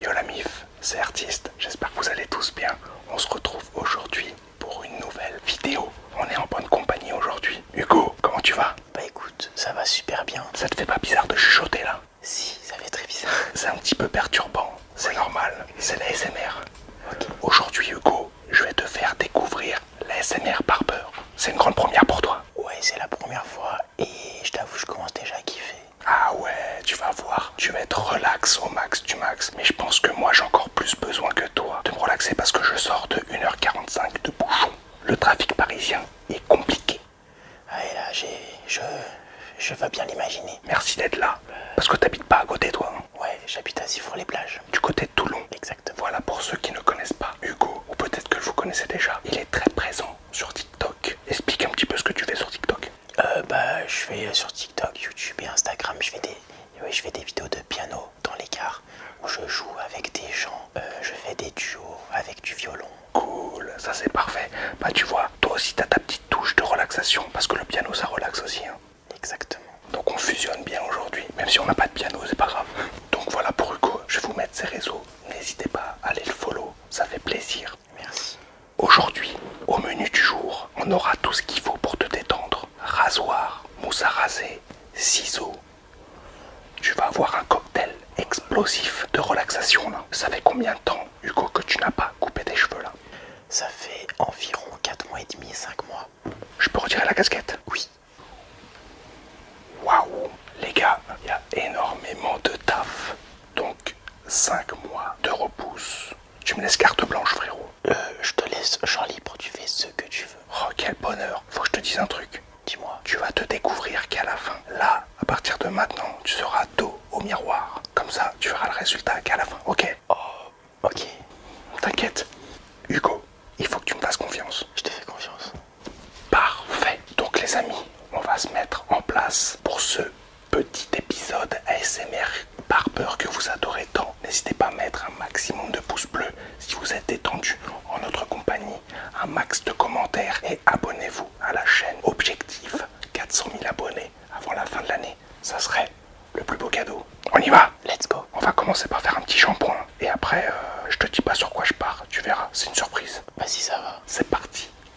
Yo la MIF, c'est Artiste, j'espère que vous allez tous bien. On se retrouve aujourd'hui pour une nouvelle vidéo. On est en bonne compagnie aujourd'hui. Hugo, comment tu vas Bah écoute, ça va super bien. Ça te fait pas bizarre de chuchoter là Si, ça fait très bizarre. C'est un petit peu perturbant, c'est normal, c'est la SMR. Aujourd'hui Hugo, je vais te faire découvrir la par peur. C'est une grande première pour toi Ouais, c'est la première fois et je t'avoue, je commence déjà à kiffer. Ah ouais, tu vas voir, tu vas être relax au max du max. Mais je pense que moi j'ai encore plus besoin que toi de me relaxer parce que je sors de 1h45 de bouchon. Le trafic parisien est compliqué. Ah là, je... je veux bien l'imaginer. Merci d'être là. Parce que t'habites pas à côté toi. Hein. ouais, j'habite à Sifour-les-Plages. Du côté de Toulon. Exactement. Voilà pour ceux qui ne connaissent pas Hugo, ou peut-être que vous connaissez déjà. Il est très présent sur TikTok. Explique un petit peu ce que tu fais sur TikTok. Euh, bah, je fais euh, sur TikTok, YouTube et Instagram, je fais des, je fais des vidéos de piano dans les où je joue avec des gens, euh, je fais des duos avec du violon. Cool, ça c'est parfait. Bah tu vois, toi aussi t'as ta petite touche de relaxation parce que le piano ça relaxe aussi. Hein. Exactement. Donc on fusionne bien aujourd'hui, même si on n'a pas de piano, c'est pas grave. Donc voilà pour Hugo, je vais vous mettre ses réseaux. N'hésitez pas à aller le follow, ça fait plaisir. Merci. Aujourd'hui, au menu du jour, on aura tout ce qu'il faut pour te détendre. Rasoir, mousse à raser, ciseaux. Tu vas avoir un cocktail explosif de relaxation là. Ça fait combien de temps, Hugo, que tu n'as pas coupé tes cheveux là Ça fait environ 4 mois et demi, 5 mois. Je peux retirer la casquette Oui. Waouh Les gars, il y a énormément de taf. Donc 5 mois de repousse. Tu me laisses carte blanche frérot. Euh, je te laisse champ libre, tu fais ce que tu veux. Oh quel bonheur, faut que je te dise un truc. Dis-moi. Tu vas te découvrir qu'à la fin, là, à partir de maintenant, tu seras dos au miroir. Comme ça, tu verras le résultat qu'à la fin, ok Oh, ok. T'inquiète. Hugo, il faut que tu me fasses confiance. Je te fais confiance. Parfait. Donc les amis, on va se mettre en place pour ce petit épisode ASMR peur que vous adorez tant. N'hésitez pas à mettre un maximum de pouces bleus si vous êtes détendu en notre compagnie, un max de commentaires et abonnez-vous à la chaîne. Objectif 400 000 abonnés avant la fin de l'année. Ça serait le plus beau cadeau. On y va Let's go On va commencer par faire un petit shampoing et après euh, je te dis pas sur quoi je pars, tu verras, c'est une surprise. Bah si ça va. C'est parti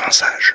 Rinçage.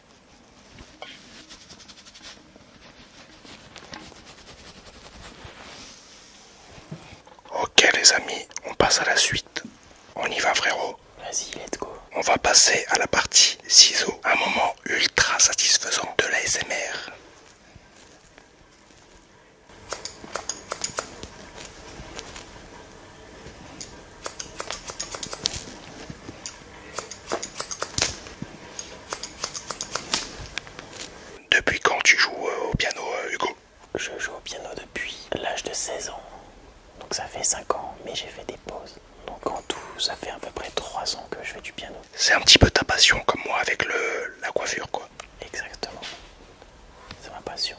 Ok les amis, on passe à la suite. On y va frérot. Vas-y, let's go. On va passer à la partie ciseaux. Un moment ultra satisfaisant de la SMR. Depuis quand tu joues euh, au piano, euh, Hugo Je joue au piano depuis l'âge de 16 ans. Donc ça fait 5 ans, mais j'ai fait des pauses. Donc en tout, ça fait à peu près 3 ans que je fais du piano. C'est un petit peu ta passion, comme moi, avec la coiffure, quoi. Exactement. C'est ma passion.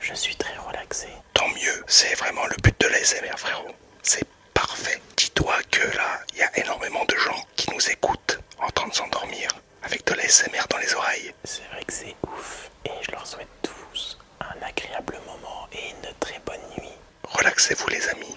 Je suis très relaxé. Tant mieux, c'est vraiment le but de l'ASMR frérot. C'est parfait. Dis-toi que là, il y a énormément de gens qui nous écoutent en train de s'endormir avec de l'ASMR dans les oreilles. C'est vrai que c'est ouf et je leur souhaite tous un agréable moment et une très bonne nuit. Relaxez-vous les amis.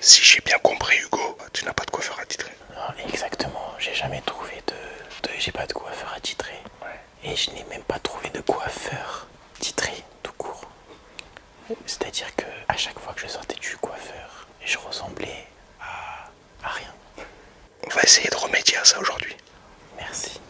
Si j'ai bien compris, Hugo, tu n'as pas de coiffeur à titrer. exactement. J'ai jamais trouvé de. J'ai pas de coiffeur à Ouais. Et je n'ai même pas trouvé de coiffeur titré, tout court. C'est-à-dire que à chaque fois que je sortais du coiffeur, je ressemblais à, à rien. On va essayer de remédier à ça aujourd'hui. Merci.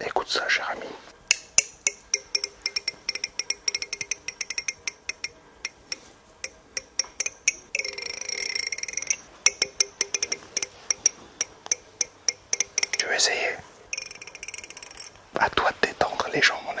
Écoute ça, cher ami. Tu veux essayer À toi de détendre les gens, mon ami.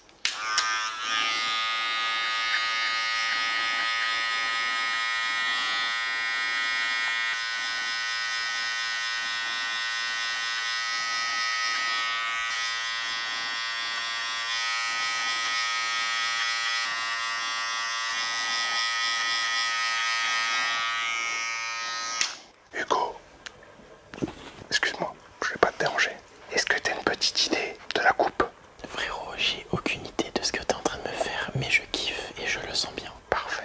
Hugo, excuse-moi, je vais pas te déranger. Est-ce que t'as une petite idée de la coupe Frérot, j'ai aucune idée de ce que t'es en train de me faire, mais je kiffe et je le sens bien. Parfait.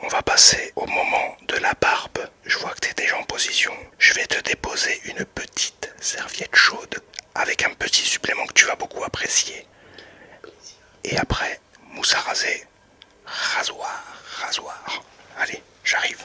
On va passer au moment de la barbe. Je vois que tu es déjà en position. Je vais te déposer une petite serviette chaude avec un petit supplément que tu vas beaucoup apprécier. Et après, mousse à raser, rasoir, rasoir. Allez, j'arrive.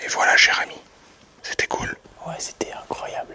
Et voilà, cher ami, c'était cool. Ouais, c'était incroyable.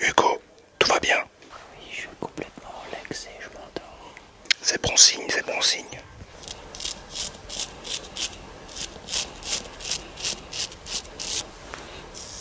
Hugo, tout va bien Oui, je suis complètement relaxé, je m'endors. C'est bon signe, c'est bon signe.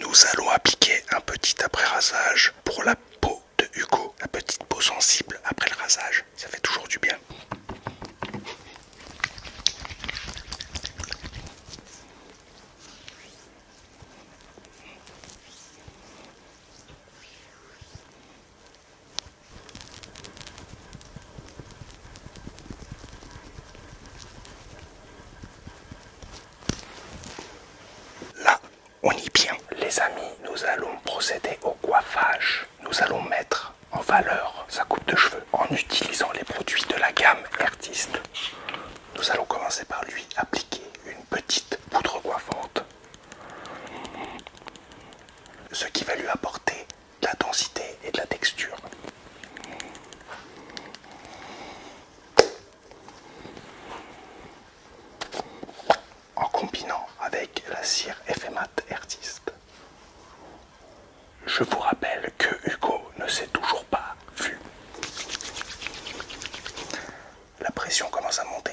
Nous allons appliquer un petit après-rasage pour la peau de Hugo, la petite peau sensible après le rasage, ça fait toujours du bien. Là, on y bien. Les amis, nous allons procéder au coiffage. Nous allons mettre en valeur sa coupe de cheveux en utilisant les produits de la gamme Artiste. Nous allons commencer par lui appliquer une petite poudre coiffante, ce qui va lui apporter de la densité et de la texture. En combinant avec la cire FMAT Artist. Je vous rappelle que Hugo ne s'est toujours pas vu. La pression commence à monter.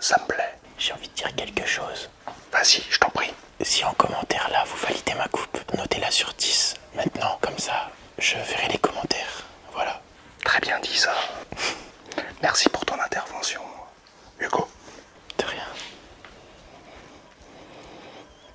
Ça me plaît. J'ai envie de dire quelque chose. Vas-y, je t'en prie. Si en commentaire là vous validez ma coupe, notez-la sur 10 maintenant, comme ça je verrai les commentaires. Voilà. Très bien dit ça. Merci pour ton intervention, Hugo. De rien.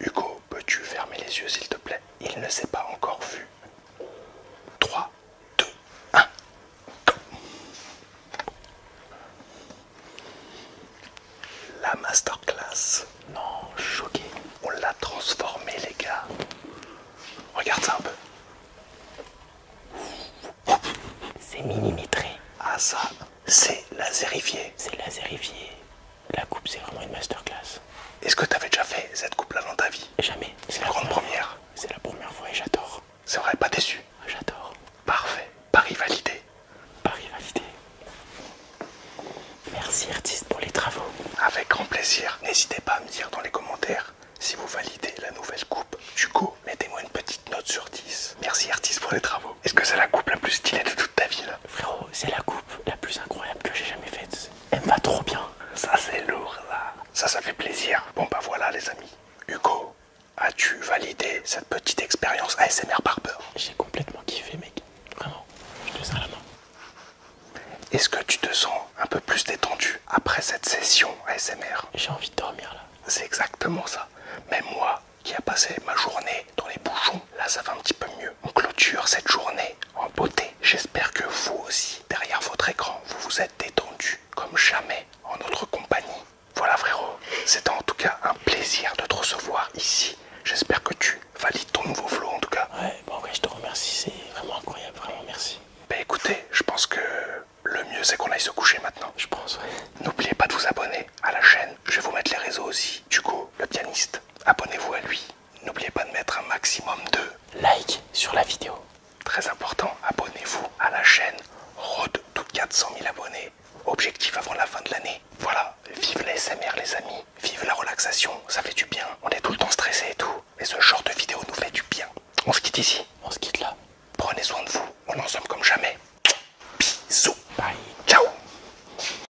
Hugo, peux-tu fermer les yeux s'il te plaît Il ne s'est pas encore vu. 3, 2, 1, La masterclass. Non, choqué. On l'a transformé les gars. Regarde ça un peu. C'est millimétré. Ah ça, c'est la laserifié. C'est laserifié. La coupe, c'est vraiment une masterclass. Est-ce que tu avais déjà fait cette coupe-là dans ta vie Jamais. C'est la grande première. C'est la première fois et j'adore. C'est vrai, pas déçu ah, J'adore. Parfait. Paris validé. Paris validé. Merci artiste pour les travaux. Avec grand plaisir. N'hésitez pas à me dire dans les commentaires si vous validez la nouvelle coupe. Du coup, mettez-moi une petite note sur 10. Merci artiste pour les travaux. Est-ce que c'est la coupe la plus stylée de toute ta vie là Frérot, c'est la coupe la plus incroyable que j'ai jamais faite. Elle me va trop bien. Ça c'est lourd là. Ça ça fait plaisir. Bon bah voilà les amis. Hugo, as-tu validé cette petite expérience ASMR peur J'ai complètement kiffé mec. Vraiment. Je te sers la main. Est-ce que tu te sens un peu plus détendu après cette session ASMR J'ai envie de dormir là. C'est exactement ça. mais moi qui a passé ma journée dans les bouchons. Là, ça va un petit peu mieux. On clôture cette journée en beauté. J'espère que vous aussi, derrière votre écran, vous vous êtes détendu comme jamais en notre compagnie. Voilà frérot, c'était en tout cas un plaisir de te recevoir ici. J'espère que tu valides ton nouveau flow en tout cas. Ouais, bon bah, ouais, je te remercie, c'est vraiment incroyable, vraiment merci. Bah écoutez, je pense que le mieux c'est qu'on aille se coucher maintenant. Je pense, ouais. N'oubliez pas de vous abonner à la chaîne, je vais vous mettre les réseaux aussi. coup, le pianiste, abonnez-vous à lui. N'oubliez pas de mettre un maximum de likes sur la vidéo. Très important, abonnez-vous à la chaîne Road toutes 400 000 abonnés. Objectif avant la fin de l'année. Voilà, vive les SMR les amis, vive la relaxation, ça fait du bien. On est tout le temps stressé et tout, mais ce genre de vidéo nous fait du bien. On se quitte ici. On se quitte là. Prenez soin de vous, on en somme comme jamais. Bisous. Bye. Ciao.